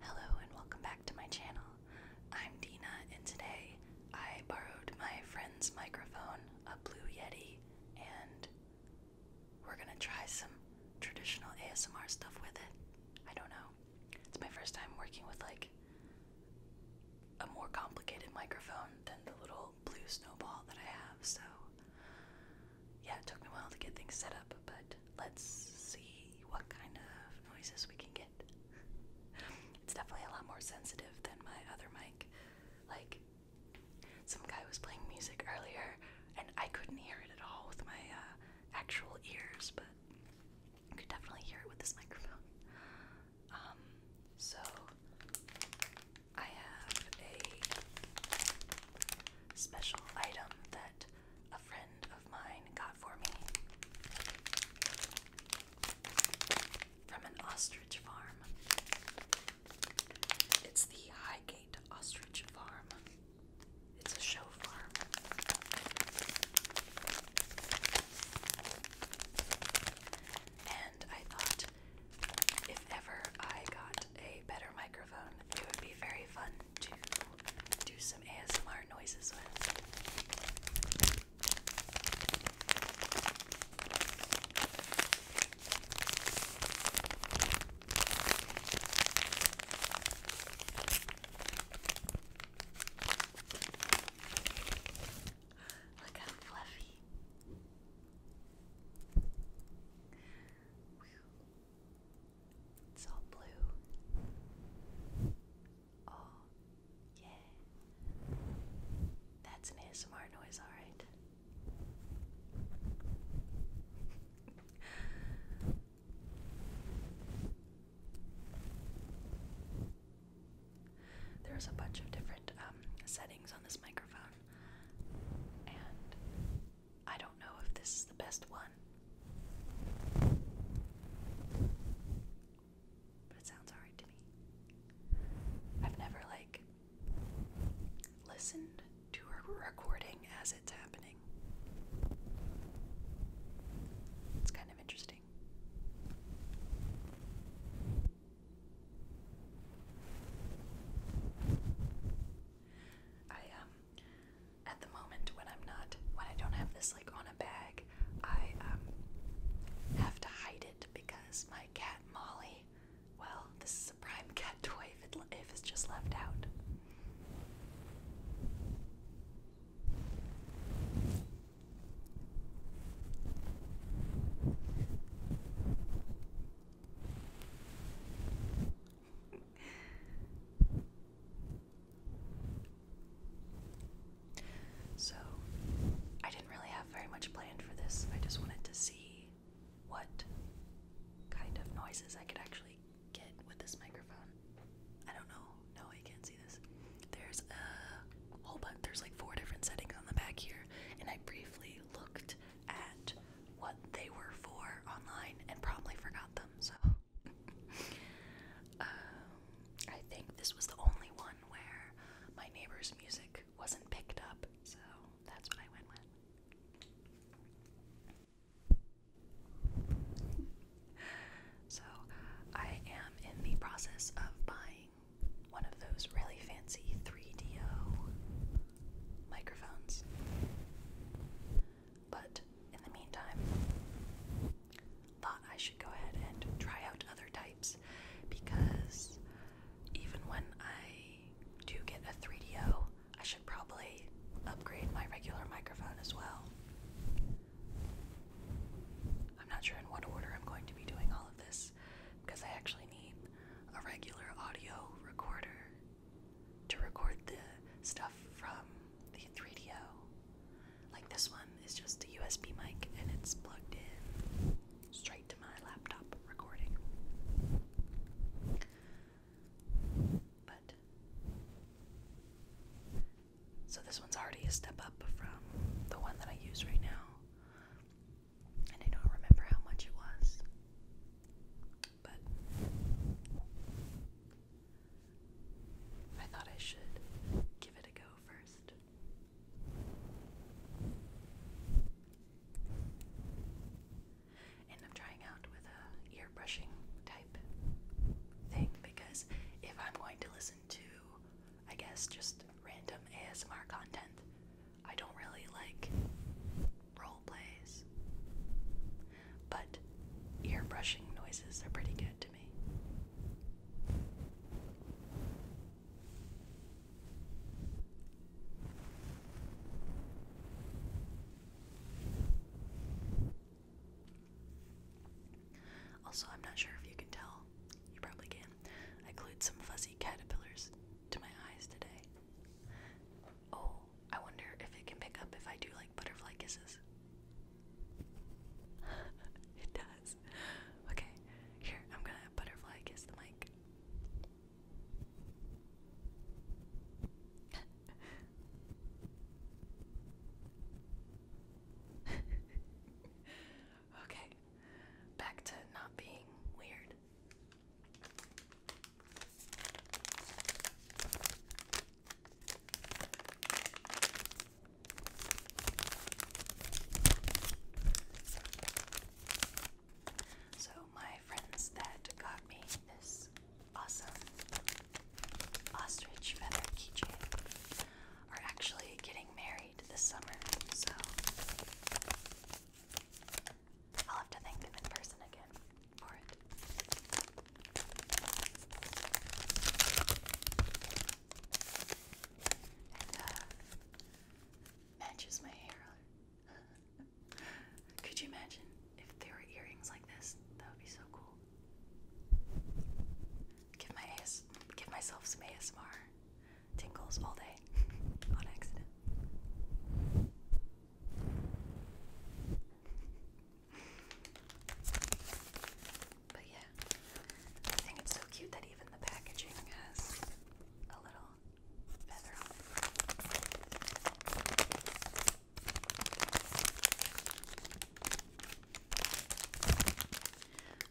Hello and welcome back to my channel. I'm Dina and today I borrowed my friend's microphone, a Blue Yeti, and we're gonna try some traditional ASMR stuff with it. I don't know. It's my first time working with like a more complicated microphone than the little blue snowball that I have, so yeah, it took me a while to get things set up, but let's see what kind of noises we can get. it's definitely a lot more sensitive than my other mic. Like, some guy was playing music earlier, and I couldn't hear it at all with my uh, actual ears, but I could definitely hear it with this microphone. Um, so I have a special item that a friend of mine got for me from an ostrich farm. It's the Highgate Ostrich Farm. It's a show farm. And I thought if ever I got a better microphone, it would be very fun to do some ASMR noises with. Look how fluffy. It's all blue. Oh, yeah. That's an ASMR noise, alright. There's a bunch of different um, settings on this microphone, and I don't know if this is the best one. But it sounds alright to me. I've never, like, listened to a recording as it's happening. It's kind of interesting. I, um, at the moment when I'm not when I don't have this like on a bag, I um have to hide it because my cat Molly, well, this is a prime cat toy if, it, if it's just left out so, I didn't really have very much planned for this. I just wanted to see what kind of noises I could actually get with this microphone. I don't know. No, I can't see this. There's a whole bunch. There's like four different settings on the back here, and I briefly looked at what they were for online and probably forgot them, so. Um, I think this was the only one where my neighbor's music wasn't picked up, so that's what I went with. so I am in the process of buying one of those really fancy 3DO microphones. But in the meantime, thought I should go ahead and try out other types because even when I do get a 3 O, I should probably upgrade my regular microphone as well. I'm not sure in what order I'm going to be doing all of this because I actually need a regular audio recorder to record the stuff from the 3DO. Like this one is just a USB mic and it's plugged in straight to my laptop recording. But so this one's already a step up from the one that I use right now. And I don't remember how much it was but I thought I should give it a go first. And I'm trying out with a ear brushing type thing because if I'm going to listen to, I guess, just random ASMR content, I don't really like role plays but ear brushing noises are pretty good to me. Also, I'm not sure if you can tell, you probably can. I glued some fuzzy caterpillars to my eyes today. Oh, I wonder if it can pick up if I do like butterfly kisses. it does. Okay, here, I'm gonna butterfly kiss the mic. okay, back to not being weird. So, my friends that got me this awesome ostrich feather keychain are actually getting married this summer, so I'll have to thank them in person again. Uh, matches my hair. Could you imagine if there were earrings like this? That would be so cool. Give my AS give myself some ASMR tingles all day on accident. But yeah, I think it's so cute that even the packaging has a little feather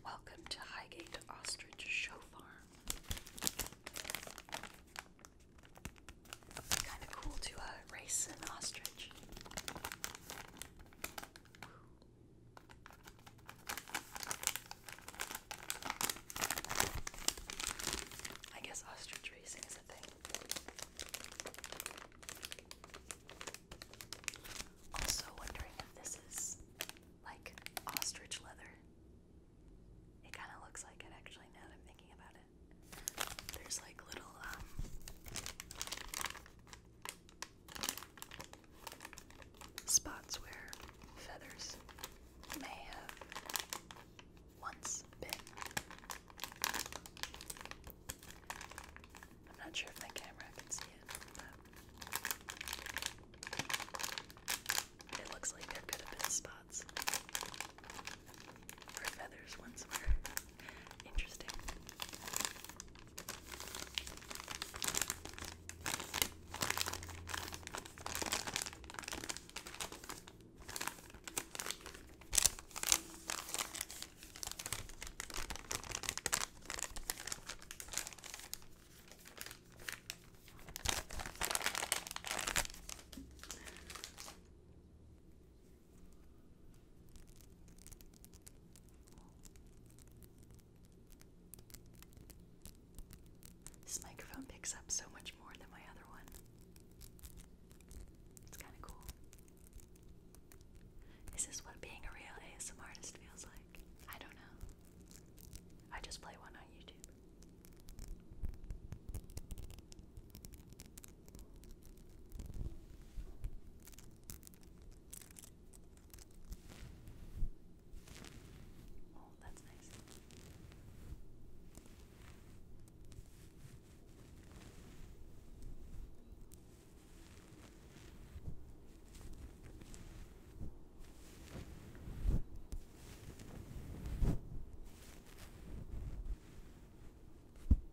Welcome to Highgate Ostrich Show Farm it kind of cool to uh, race an ostrich. I guess ostrich racing is a thing. Also wondering if this is like ostrich leather. It kind of looks like it actually now that I'm thinking about it. There's like little um, spots where feathers may have once been. I'm not sure if my camera can see it, but it looks like there could have spots feathers once were interesting. This microphone picks up so much more than my other one. It's kind of cool. Is what being a real ASM artist feels like? I don't know. I just play one on YouTube. Oh, that's nice.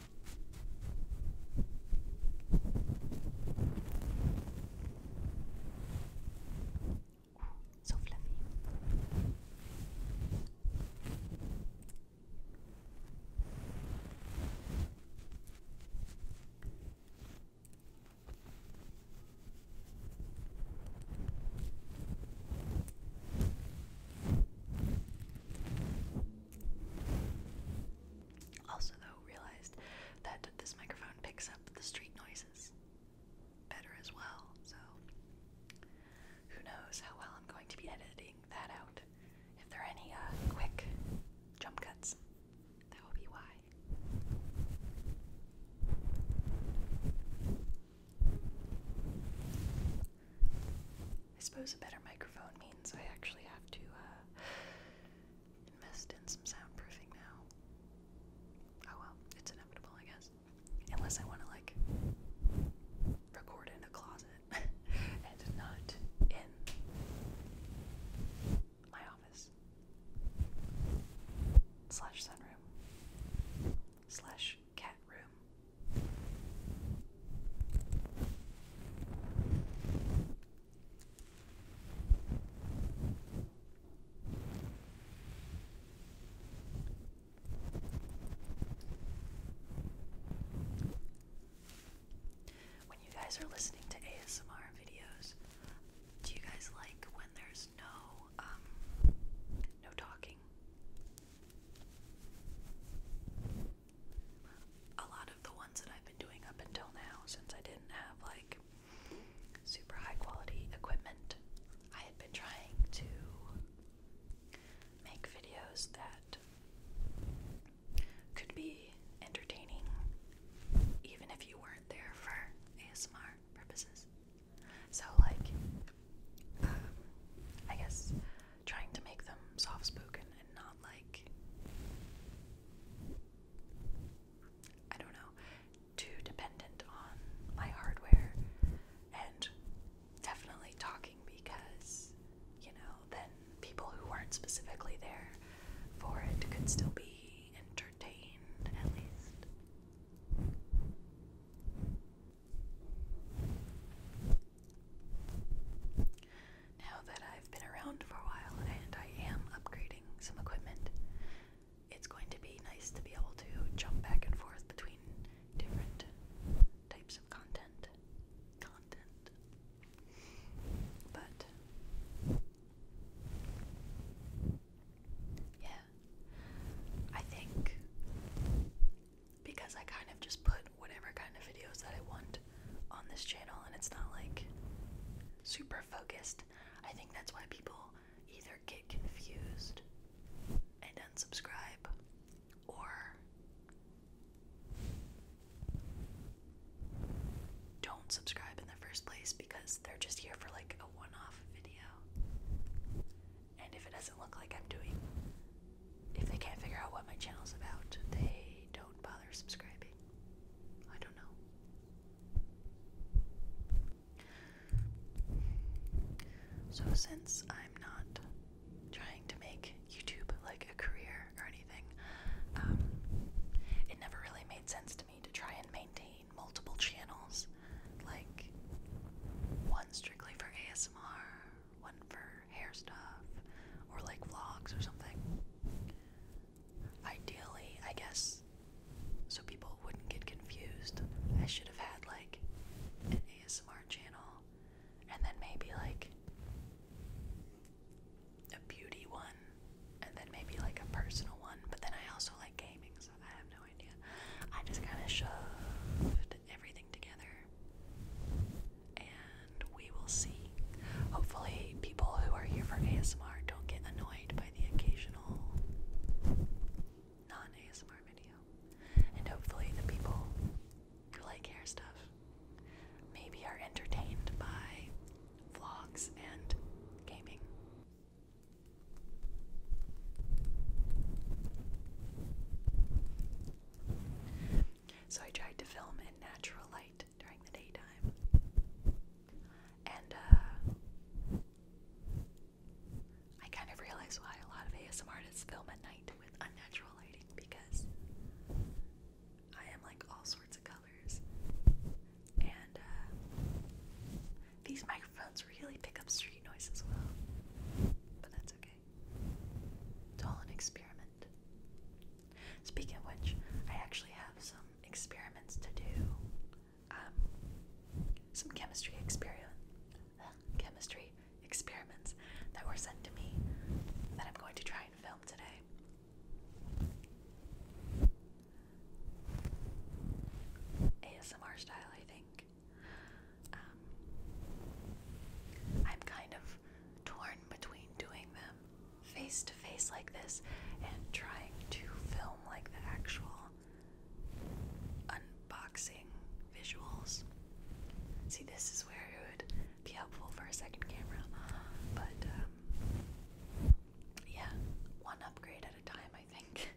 So fluffy. Also, realized that this microphone picks up the street noises better as well, so who knows how well I'm going to be editing that out. If there are any uh, quick jump cuts, that will be why. I suppose a better microphone means I actually have to uh, invest in some soundproofing now. Oh well, it's inevitable, I guess. Unless I want to, like, record in a closet and not in my office. Slash sunroom. Slash cat room. When you guys are listening to ASMR videos, do you guys like when there's no um no talking? a lot of the ones that I've been doing up until now since I didn't have like super high quality equipment. I had been trying to make videos that could be entertaining even if you weren't there for ASMR purposes. So like um, I guess trying to make them soft spoken and not childlike. I don't know, too dependent on my hardware and definitely talking because, you know, then people who weren't specifically there for it could still be entertained at least. Now that I've been around for a while and I am upgrading some equipment, it's going to be nice to be able to jump back and forth between different types of content. Content. But, yeah. I think because I kind of just put whatever kind of videos that I want on this channel and it's not like super focused. I think that's why people either get confused and unsubscribe or don't subscribe in the first place because they're just here for like a one off video. And if it doesn't look like I'm doing, if they can't figure out what my channel's about, they don't bother subscribing. I don't know. So, since I'm not trying to make YouTube like a career or anything, um, it never really made sense to me to try and maintain multiple channels like one strictly for ASMR, one for hair stuff, or like vlogs or something ideally, I guess, so people wouldn't get confused, I should have had like an ASMR channel and then maybe like a beauty one and then maybe like a personal one, but then I also like gaming, so I have no idea. I just kind of shoved everything together and we will see. Hopefully, people who are here for ASMR don't get annoyed by the occasional non ASMR video. And hopefully, the people who like hair stuff maybe are entertained by vlogs and gaming. So I tried to film in natural light during the daytime. And uh, I kind of realized why a lot of ASM artists film at night with unnatural lighting because I am like all sorts of colors. And uh, these microphones really pick up street noise as well. But that's okay. It's all an experiment. Speaking of which, I actually have some experiments to do, um, some chemistry experiment, chemistry experiments that were sent to me that I'm going to try and film today. ASMR style, I think. Um, I'm kind of torn between doing them face to face like this and trying to film like the actual unboxing visuals. See, this is where it would be helpful for a second camera, but um, yeah, one upgrade at a time, I think.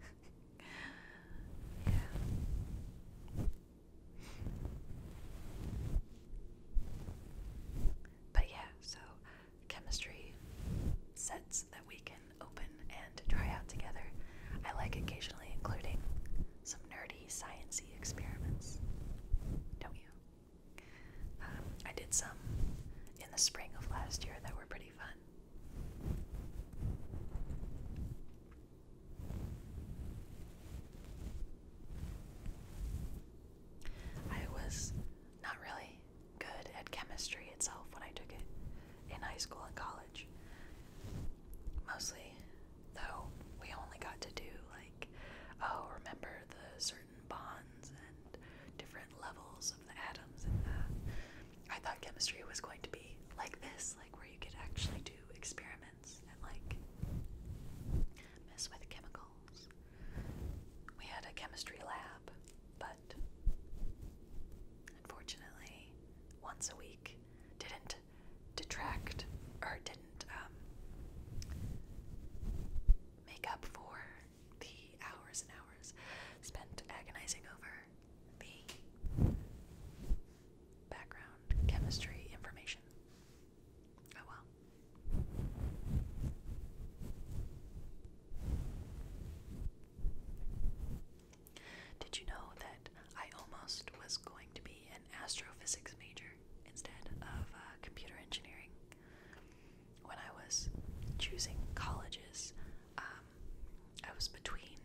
yeah. But yeah, so chemistry sets that we can open and try out together. I like occasionally including some nerdy, sciencey experiments. Don't you? Um, I did some in the spring of last year that were pretty fun. I was not really good at chemistry itself when I took it in high school and college. Mostly, though, we only got to do like, oh, remember the certain bonds and different levels of the atoms and that. I thought chemistry was going to be like this, like where you could actually do experiments and like mess with chemicals. We had a chemistry lab, but unfortunately, once a week didn't detract or didn't um, make up for the hours and hours spent agonizing over the background chemistry information. Oh well. Did you know that I almost was going to be an astrophysics major instead of uh, computer engineering? When I was choosing colleges, um, I was between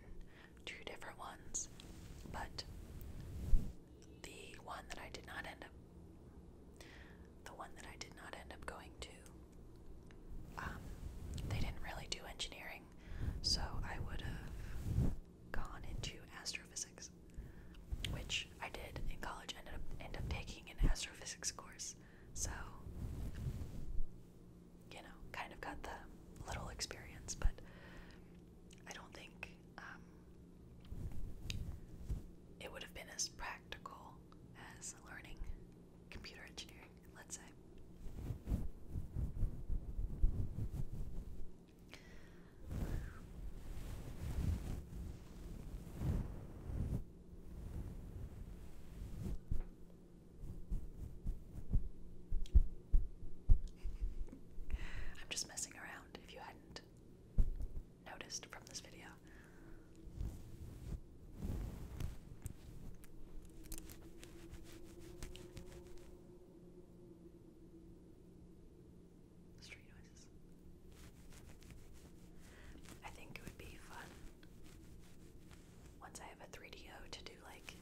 two different ones, but the one that I did not end up the one that I did not end up going to. Um, they didn't really do engineering, so I would have gone into astrophysics, which I did in college. Ended up end up taking an astrophysics course, so you know, kind of got the little experience, but I don't think um, it would have been as practical as learning computer engineering, let's say. I'm just messing around if you hadn't noticed from this video. Street noises. I think it would be fun once I have a 3DO to do like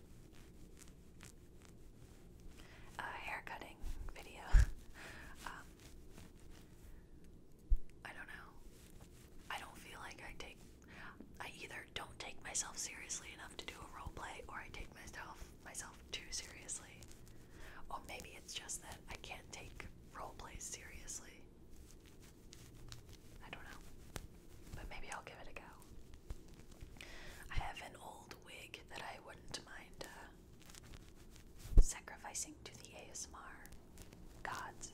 a hair cutting video. Um, I don't know. I don't feel like I take I either don't take myself seriously enough to do a role play or I take myself myself too seriously. Or maybe it's just that I can't take role plays seriously. I don't know. But maybe I'll give it a go. I have an old wig that I wouldn't mind uh, sacrificing to the ASMR gods.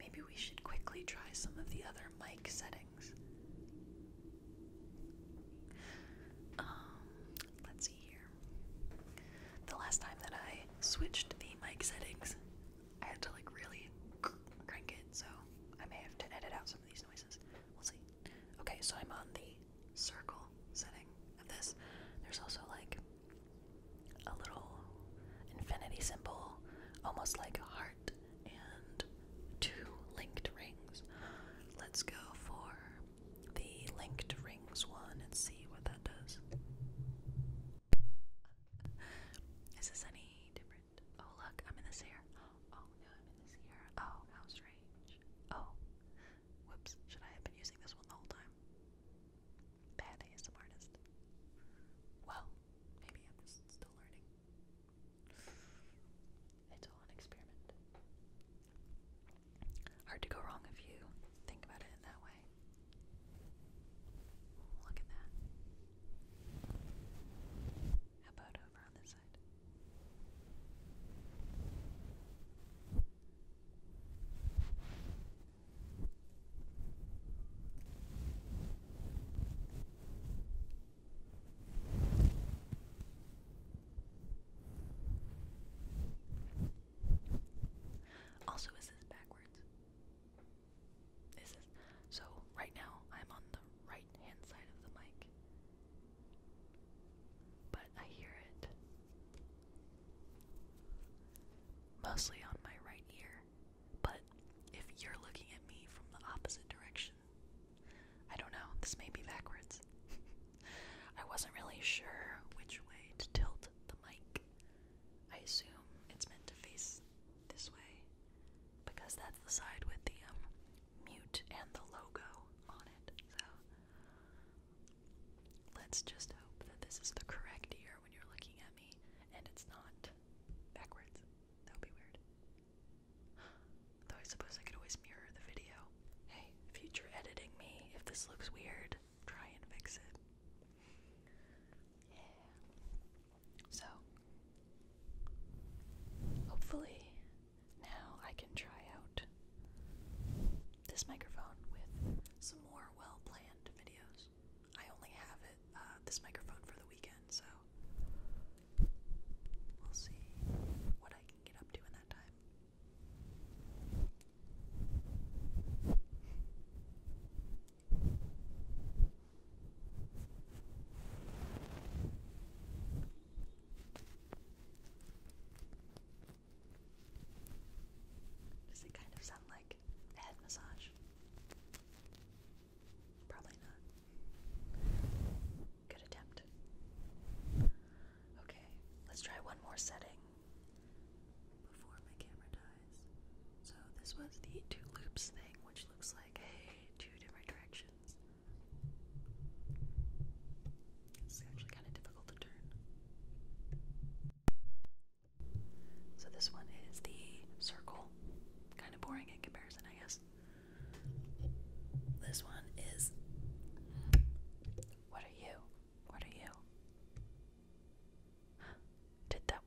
Maybe we should quickly try some of the other mic settings. Um, let's see here. The last time that I switched the mic settings, I had to like really crank it, so I may have to edit out some of these noises. We'll see. Okay, so I'm on the circle setting of this. There's also like a little infinity symbol, almost like a heart, and two linked rings. Let's go for the linked rings one and see what that does. Is this any different? Oh, look, I'm in the Sierra. Oh, no, I'm in the Sierra. Oh, how strange. Oh, whoops, should I have been using this one the whole time? Bad ASM artist. Well, maybe I'm just still learning. It's all an experiment. Hard to go wrong if you think about it in that away. Look at that. How about over on this side? Also, is this backwards? This is so right now I'm on the right hand side of the mic. But I hear it mostly on my right ear. But if you're looking at me from the opposite direction, I don't know, this may be backwards. I wasn't really sure which way to tilt the mic. I assume it's meant to face this way because that's the side with the um, mute and the logo on it. So let's just hope that this is the correct ear when you're looking at me and it's not backwards. That would be weird. Though I suppose I could always mirror the video. Hey, future editing me, if this looks weird, try and fix it. Yeah. So, hopefully, now I can try out this microphone with some more well planned videos. I only have it, uh, this microphone for the weekend, so we'll see what I can get up to in that time. Does it kind of sound like head massage? Probably not. Good attempt. Okay, let's try one more setting before my camera dies. So this was the two loops thing, which looks like hey, two different directions. It's actually kind of difficult to turn. So this one is the circle. Kind of boring in comparison, I guess. This one is. What are you? What are you? Did that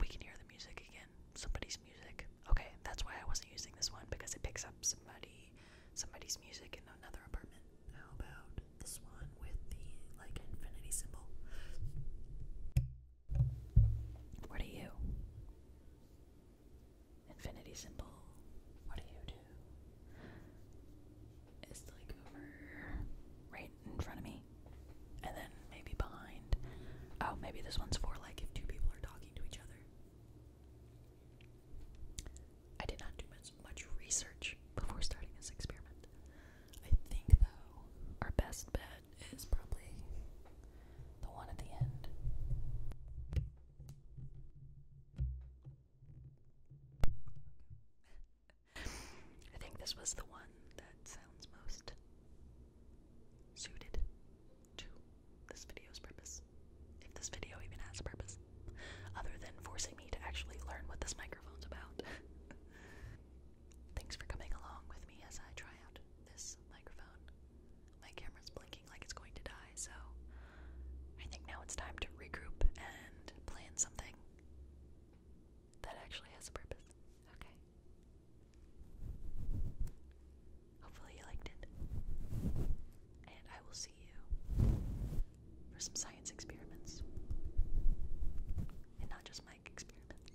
we can hear the music again. Somebody's music. Okay, that's why I wasn't using this one because it picks up somebody, somebody's music in another apartment. How about this one with the like infinity symbol? What are you? Infinity symbol. What do you do? It's like over right in front of me. And then maybe behind. Oh, maybe this one's for like if two people are talking to each other. I did not do much, research before starting this experiment. I think, though, our best bet is probably the one at the end. I think this was the one that sounds most suited to this video's purpose. If this video even has a purpose, other than forcing me to actually learn what this microphone's about. Thanks for coming along with me as I try out this microphone. My camera's blinking like it's going to die, so I think now it's time to regroup and plan something that actually has a purpose. Okay. Hopefully, you liked it. And I will see you for some science experiments. And not just mic experiments.